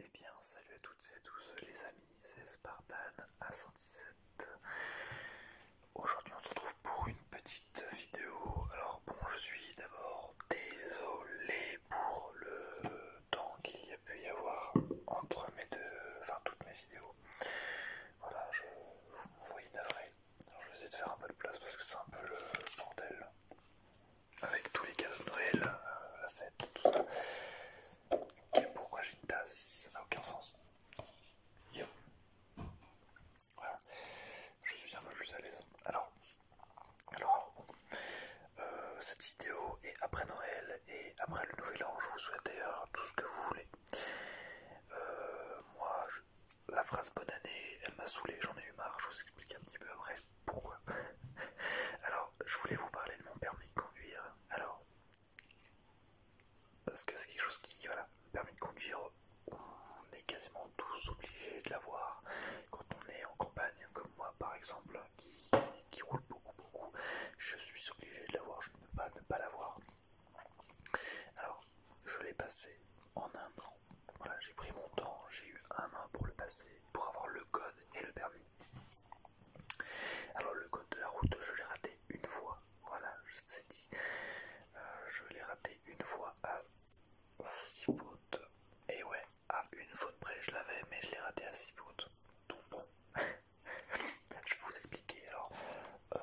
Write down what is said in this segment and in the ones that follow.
Eh bien, salut à toutes et à tous les amis, c'est Spartan A117. Aujourd'hui, on se retrouve pour une petite vidéo. Alors, bon, je suis d'abord désolé pour le temps qu'il y a pu y avoir entre mes deux, enfin, toutes mes vidéos. Voilà, je, vous envoie voyez Alors, je vais essayer de faire un peu de place parce que c'est un peu le bordel avec tous les cadeaux de Noël, euh, la fête, tout ça. pourquoi j'ai une tasse Ça n'a aucun sens. Voilà, je suis un peu plus à l'aise. Alors, alors, euh, cette vidéo est après Noël et après le Nouvel An. Je vous souhaite d'ailleurs tout ce que vous voulez. Euh, moi, la phrase bonne année, elle m'a saoulé, j'en ai eu marre. Je vous explique un petit peu après pourquoi Alors, je voulais vous parler de mon permis de conduire. Alors, parce que c'est quelque chose qui, voilà, le permis de conduire, on est quasiment tous obligés de l'avoir quand on est en campagne, comme moi par exemple, qui, roule beaucoup, beaucoup. Je suis obligé de l'avoir, je ne peux pas ne pas l'avoir. Alors, je l'ai passé en un an. Voilà, j'ai pris mon temps, j'ai eu un an pour le passer, pour avoir le code et le permis. Alors le code de la route, je l'ai raté une fois. Voilà, je suis dit, euh, je l'ai raté une fois à 6 fautes. Et ouais, à une faute près, je l'avais, mais je l'ai raté à 6 fautes. Donc bon, je vais vous expliquer. Alors, euh,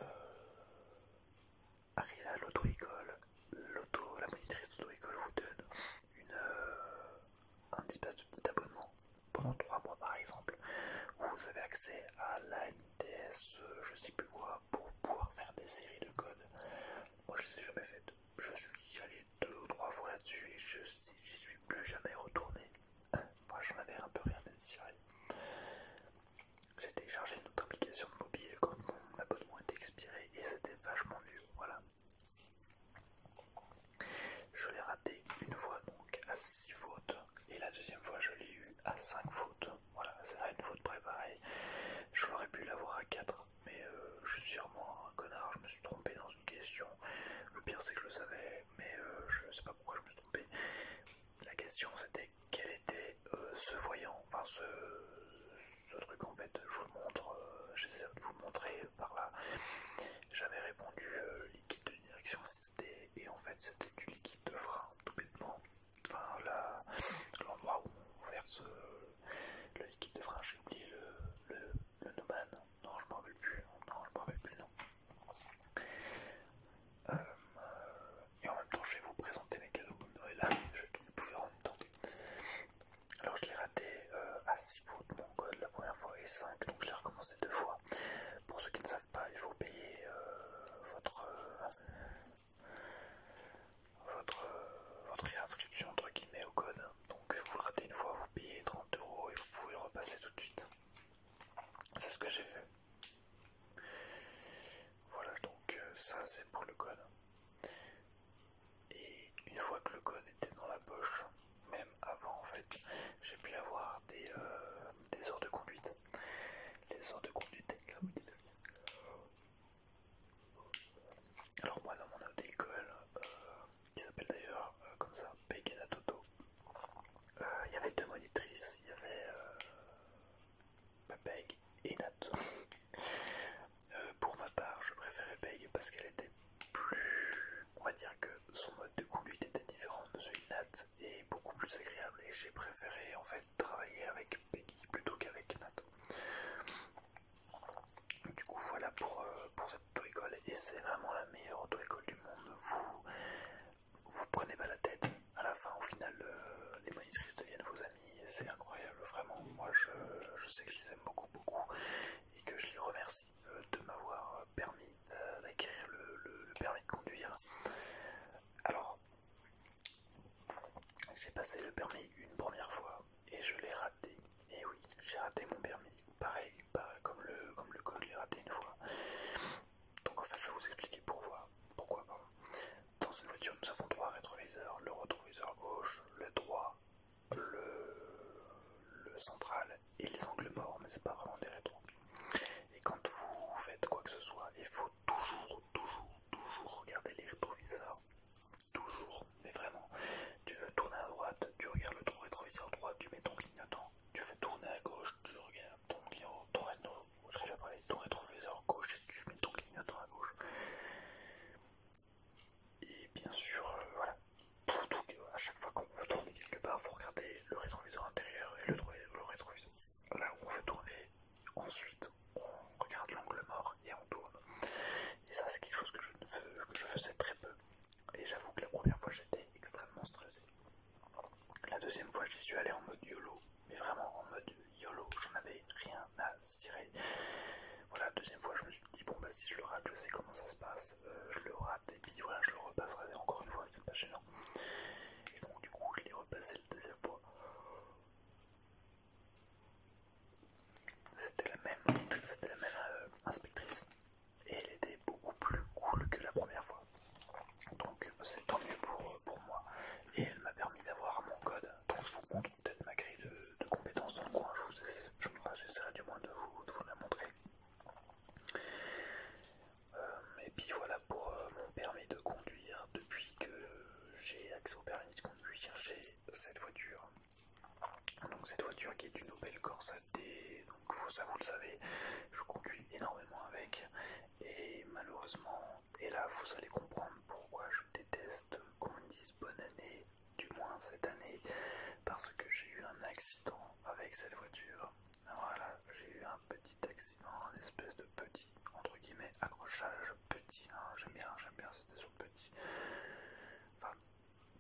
à l'auto-école, l'auto, la monitrice d'auto-école vous donne une, euh, un espèce de petit abonnement pendant trois mois par exemple, où vous avez accès à la NTS, euh, je sais plus quoi, pour pouvoir faire des séries de codes. Moi je ne les jamais faites, je suis allé deux ou trois fois là-dessus et je n'y suis plus jamais retourné. Moi j'en avais un peu rien de désirer. J'ai téléchargé une autre application mobile quand mon abonnement était expiré et c'était vachement mieux. Voilà, je l'ai raté une fois donc à 6 fautes et la deuxième fois je l'ai eu à 5 fautes. Voilà, c'est à une faute préparée, Je l'aurais pu l'avoir à 4, mais euh, je suis sûrement un connard, je me suis trompé dans une question. Le pire c'est que je le savais, mais euh, je ne sais pas pourquoi je me suis trompé. La question c'était quel était euh, ce voyant enfin ce, truc en fait, je vous le montre, euh, j'essaie de vous montrer par là. J'avais répondu euh, liquide de direction assistée et en fait c'était du liquide de frein tout bêtement. Enfin l'endroit où on verse euh, le liquide de frein, j'ai oublié le, le, noman, non je m'en rappelle plus, non je m'en rappelle plus non. et en même temps je vais vous présenter mes cadeaux comme Noël, je vais tout faire en même temps. Alors je l'ai raté euh, à 6 pour mon code la première fois et 5, donc je l'ai recommencé deux fois. Pour ceux qui ne savent pas, il faut payer euh, votre, euh, votre, réinscription entre au code. Donc vous ratez une fois, vous payez 30 euros et vous pouvez repasser tout de suite. C'est ce que j'ai fait. Voilà donc ça c'est pour le code. Et une fois que le code était dans la poche, même avant en fait, j'ai pu avoir des, euh, des heures de conduite. Des heures de conduite, alors moi dans mon auto-école, euh, qui s'appelle d'ailleurs euh, comme ça, Peggy Toto, il y avait deux monitrices, il y avait Peg et Nat. pour ma part, je préférais Peg parce qu'elle était plus. On va dire que son mode de conduite était différent de celui de Nat et beaucoup plus agréable. Et j'ai préféré en fait travailler avec Peggy plutôt qu'avec Nat. Du coup, voilà pour, euh, pour cette auto-école. Et c'est vraiment la meilleure auto-école du monde. Vous vous prenez pas la tête. À la fin, au final, euh, les monitrices deviennent vos amis c'est incroyable, vraiment. Moi, je, sais que je les aime beaucoup, beaucoup et que je les remercie euh, de m'avoir euh, permis euh, d'acquérir le, permis de conduire. Alors, j'ai passé le permis une première fois et je l'ai raté. Et oui, j'ai raté mon permis. Pareil, comme, le, comme le code, je l'ai raté une fois. Donc en fait, je vais vous expliquer pourquoi. Pourquoi pas dans cette voiture, nous avons trois rétroviseurs, le rétroviseur gauche, le droit, le, central et les angles morts, mais c'est pas vraiment des rétros. Et quand vous faites quoi que ce soit, il faut toujours, toujours, toujours regarder les rétroviseurs. Toujours, mais vraiment. Tu veux tourner à droite, tu regardes le rétroviseur droit, tu mets ton clignotant. Tu veux tourner à gauche, tu regardes ton clignotant, ton rétroviseur gauche et tu mets ton clignotant à gauche. Et bien sûr, euh, voilà. Euh, à chaque fois qu'on veut tourner quelque part, il faut regarder le rétroviseur intérieur et le, rétroviseur. Là où on veut tourner, ensuite on regarde l'angle mort et on tourne. Et ça, c'est quelque chose que je, que je faisais très peu. Et j'avoue que la première fois, j'étais extrêmement stressé. La deuxième fois, j'y suis allé en mode YOLO, mais vraiment en mode YOLO, j'en avais rien à tirer. Voilà, deuxième fois, je me suis dit, bon, bah si je le rate, je sais comment ça se passe, euh, je le rate, et puis voilà, je le repasserai encore une fois, c'est pas gênant. Et donc, du coup, je l'ai repassé la deuxième fois. C'était la même c'était la même euh, inspectrice, et elle était beaucoup plus cool que la première fois. Donc, c'est tant mieux pour moi, et elle m'a permis d'avoir mon code je vous montre peut-être ma grille de, compétences dans le coin, je j'essaierai du moins de vous, la montrer. Euh, et puis voilà pour euh, mon permis de conduire. Depuis que j'ai accès au permis de conduire, j'ai cette voiture. Donc cette voiture qui est une Opel Corsa D, donc ça vous le savez, je conduis énormément avec et malheureusement et là, vous allez comprendre pourquoi je déteste qu'on me dise bonne année, du moins cette année, parce que j'ai eu un accident avec cette voiture. Voilà, j'ai eu un petit accident, un espèce de petit, entre guillemets, accrochage petit. Hein, j'aime bien, j'aime bien, c'était sur petit. Enfin,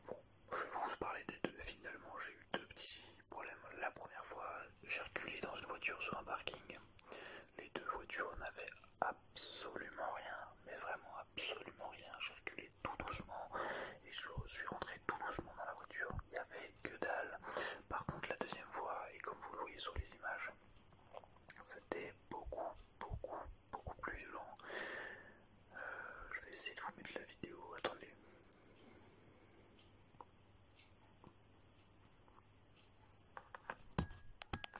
bon, je vais vous parler des deux. Finalement, j'ai eu deux petits problèmes. La première fois, j'ai reculé dans une voiture sur un parking. Les deux voitures n'avaient absolument rien, mais vraiment absolument rien. J'ai reculé tout doucement et je suis rentré tout doucement dans la voiture. Il n'y avait que dalle. Par contre, la deuxième fois, et comme vous le voyez sur les images, c'était beaucoup, beaucoup, beaucoup plus violent. Euh, je vais essayer de vous mettre la vidéo. Attendez.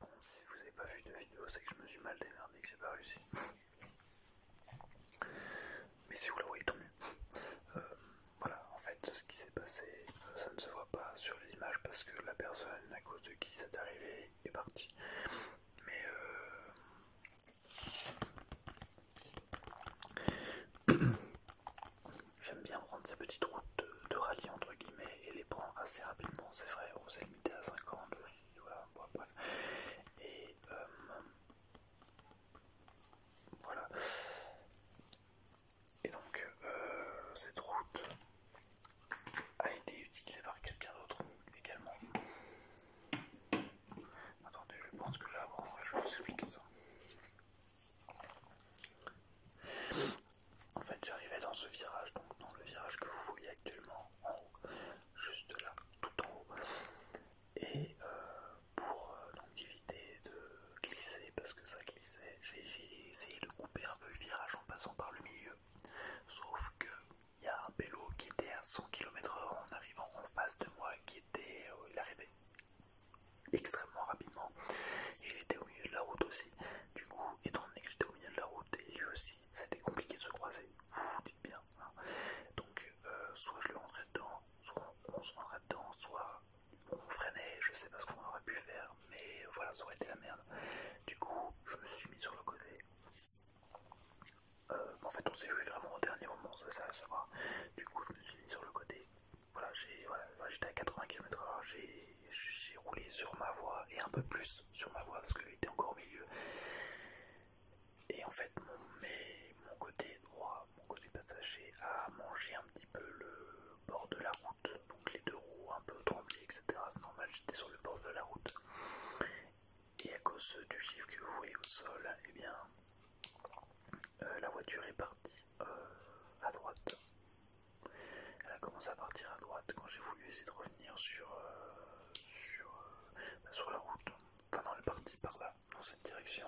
Bon, si vous n'avez pas vu de vidéo, c'est que je me suis mal démerdé, que j'ai pas réussi. Mais si vous la voyez, tant mieux. Euh, voilà, en fait, ce qui s'est passé, euh, ça ne se voit pas sur les images parce que la personne à cause de qui c'est arrivé est partie. Mais euh... J'aime bien prendre ces petites routes de, rallye entre guillemets et les prendre assez rapidement, c'est vrai, on s'est limité à 50, voilà, bref. Et euh, voilà. Et donc euh, cette route a été utilisée par quelqu'un d'autre également. Attendez, je pense que là, et je vous expliquer ça. En fait, j'arrivais dans ce virage, donc dans le virage que vous voyez actuellement en haut, juste là, tout en haut. Et euh, pour euh, éviter de glisser, parce que ça glissait, j'ai essayé de couper un peu le virage en passant par le milieu. Sauf que y a un vélo qui était à 100 km/h en arrivant en face de moi, qui était, l'arrivée. Euh, il arrivait extrêmement rapidement et il était au milieu de la route aussi. Du coup, étant donné que j'étais au milieu de la route et lui aussi, c'était compliqué de se croiser. Vous vous dites bien. Hein. Donc, euh, soit je le rentrais dedans, soit on se rentrait dedans, soit on freinait, je sais pas ce qu'on aurait pu faire, mais voilà, ça aurait été la merde. Du coup, je me suis mis sur le côté. Euh, en fait, on s'est vu vraiment au dernier moment, ça, ça à savoir. Du coup, je me suis mis sur le côté voilà, j'étais à 80 km/h, j'ai roulé sur ma voie et un peu plus sur ma voie parce que était encore au milieu. Et en fait, mon, côté droit, mon côté passager a mangé un petit peu le bord de la route, donc les deux roues un peu tremblées, etc. C'est normal, j'étais sur le bord de la route. Et à cause du chiffre que vous voyez au sol, et eh bien euh, la voiture est partie euh, à droite. Elle a commencé à partir à droite quand j'ai voulu essayer de revenir sur, euh, bah, la route. Enfin, elle est partie par là, dans cette direction.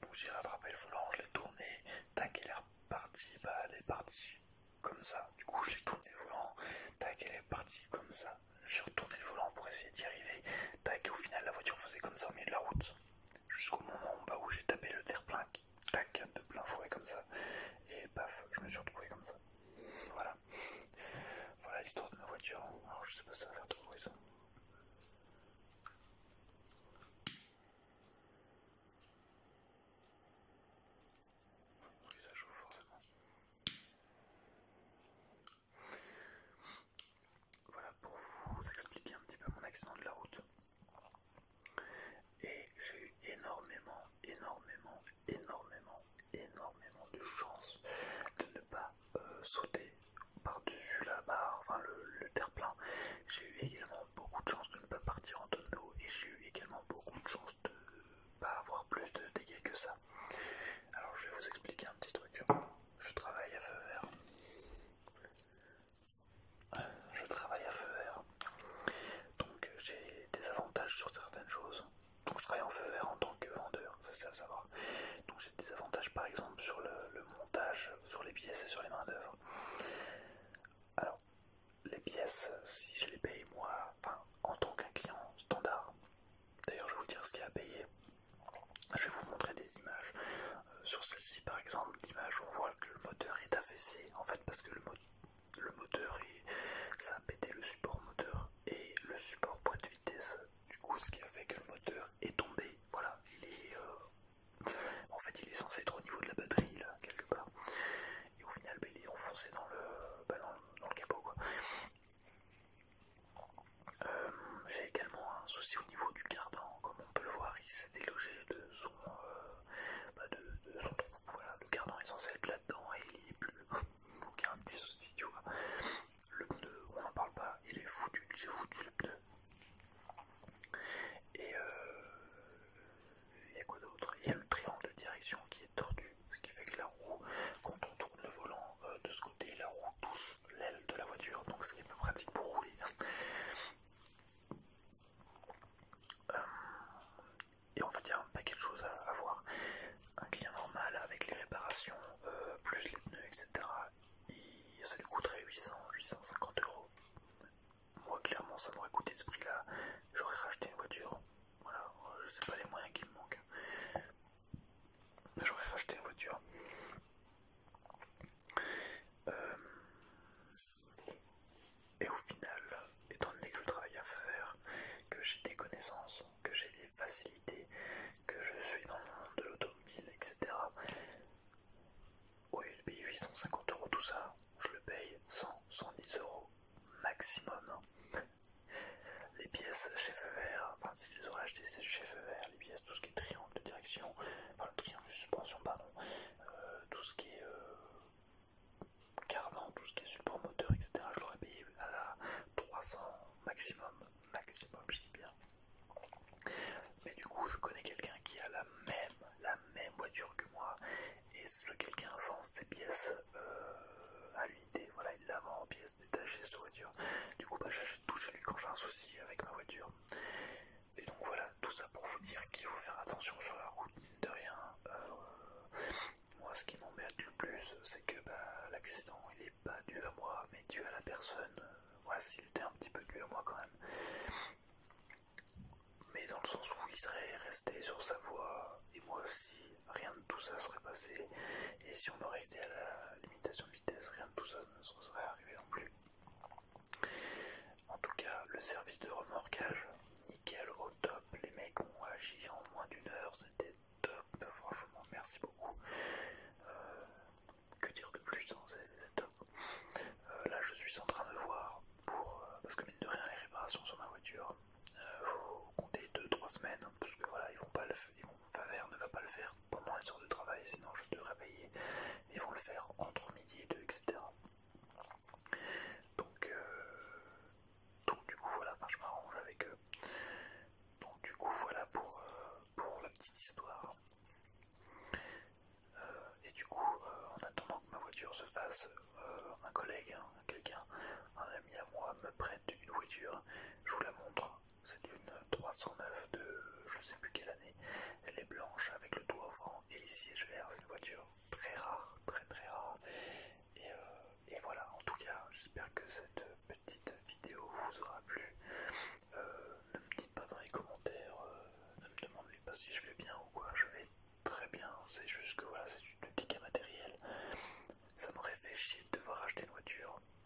Donc j'ai rattrapé le volant, je l'ai tourné, tac, elle est repartie, bah, elle est partie comme ça. Du coup, j'ai tourné le volant, tac, elle est partie comme ça. J'ai retourné le volant pour essayer d'y arriver, tac, et au final, la voiture faisait comme ça au milieu de la route jusqu'au moment bah, où j'ai tapé le terre-plein qui tac de plein fouet comme ça et paf je me suis retrouvé comme ça voilà voilà l'histoire de ma voiture alors je sais pas si ça va faire de bruit ça ça forcément voilà pour vous expliquer un petit peu mon accident de la route. Et j'ai eu énormément, énormément, énormément, énormément de chance de ne pas euh, sauter par-dessus la barre, enfin le, le terre-plein. J'ai eu également beaucoup de chance de ne pas partir en tonneau et j'ai eu également beaucoup de chance de ne pas avoir plus de dégâts que ça. Alors je vais vous expliquer un petit truc. Je travaille à feu vert je travaille à feu vert. Donc euh, j'ai des avantages sur certaines choses. Donc je travaille en feu vert en tant que vendeur, c'est à savoir. Donc j'ai des avantages par exemple sur le, montage, sur les pièces et sur les mains d'œuvre. Alors les pièces, si je les paye moi, en tant qu'un client standard, d'ailleurs je vais vous dire ce qu'il y a à payer je vais vous montrer des images. Euh, sur celle-ci par exemple, l'image on voit que le moteur est affaissé en fait parce que le, moteur ça a pété le support moteur et le support boîte de vitesse du coup ce qui a fait que le moteur est tombé. Voilà, il est euh, en fait il est censé être au niveau de la batterie là quelque part. Et au final bah, il est enfoncé dans le, bah, Dans le capot euh, j'ai également un souci au niveau du cardan, comme on peut le voir, il s'est délogé de son, euh, bah, trou. Voilà, le cardan est censé être là-dedans et il est plus. Donc il y a un petit souci, Le pneu, on n'en parle pas, il est foutu, j'ai foutu le pneu. Et euh, il y a quoi d'autre Il y a le triangle de direction qui est tordu, ce qui fait que la roue, quand on tourne le volant de ce côté, la roue touche l'aile de la voiture, donc ce qui est pratique pour rouler. Hein. Euh, et en fait, il y a un paquet de choses à, voir. Un client normal avec les réparations, euh, plus les pneus, etc., ça lui coûterait 800, 850 euros. Moi, clairement, ça m'aurait coûté ce prix-là. J'aurais racheté une voiture. Voilà, je sais pas les moyens qui me manquent. J'aurais racheté une voiture. Euh, et au final, étant donné que je travaille à faire, que j'ai des connaissances, que j'ai des facilités, que je suis dans le monde de l'automobile, etc. Oui, lieu de 850€ 850 euros tout ça, je le paye 100, 110 euros maximum. Les pièces chez Feu Vert, enfin si je les aurais achetées chez Feu Vert, les pièces, tout ce qui est triangle, de direction, enfin le triangle de suspension, pardon, euh, tout ce qui est euh, tout ce qui est support moteur, etc. Je l'aurais payé à la 300 maximum, maximum, je dis bien. Mais du coup, je connais quelqu'un qui a la même, la même voiture que moi, et ce quelqu'un vend ses pièces euh, à l'unité. Voilà, il la vend en pièces détaché cette voiture. Du coup, bah, j'achète tout chez lui quand j'ai un souci avec ma voiture. Et donc voilà, tout ça pour vous dire qu'il faut faire attention sur la route, mine de rien. Euh, moi, ce qui m'embête le plus, c'est que bah, l'accident, il n'est pas dû à moi, mais dû à la personne. Voilà, euh, s'il était un petit peu dû à moi quand même. Mais dans le sens où il serait resté sur sa voie, et moi aussi, rien de tout ça serait passé. Et si on aurait été à la limitation de vitesse, rien de tout ça ne serait arrivé non plus. En tout cas, le service de remorquage, nickel au top. Les mecs ont agi en moins d'une heure, c'était top. Franchement, merci beaucoup. Euh, que dire de plus hein, C'est top. Euh, là, je suis en train de voir pour euh, parce que mine de rien, les réparations sur ma voiture, faut compter 2-3 semaines parce que voilà, ils vont pas le, ils vont, ne va pas le faire pendant les heures de travail, sinon je devrais payer. Ils vont le faire entre midi et deux etc. Donc, euh, donc du coup voilà, enfin je m'arrange avec eux. Donc du coup voilà pour, euh, pour la petite histoire. Euh, et du coup, en attendant que ma voiture se fasse, un collègue, hein, quelqu'un, un ami à moi me prête une voiture, je vous la montre, c'est une 309 de je ne sais plus quelle année. Elle est blanche avec le toit ouvrant et les sièges verts. C'est une voiture très rare, très très rare. Et, euh, voilà, en tout cas, j'espère que cette petite vidéo vous aura plu. Euh, ne me dites pas dans les commentaires, euh, ne me demandez pas si je vais bien ou quoi. Je vais très bien, c'est juste que voilà, c'est du petite matériel. Ça m'aurait fait chier de devoir acheter une voiture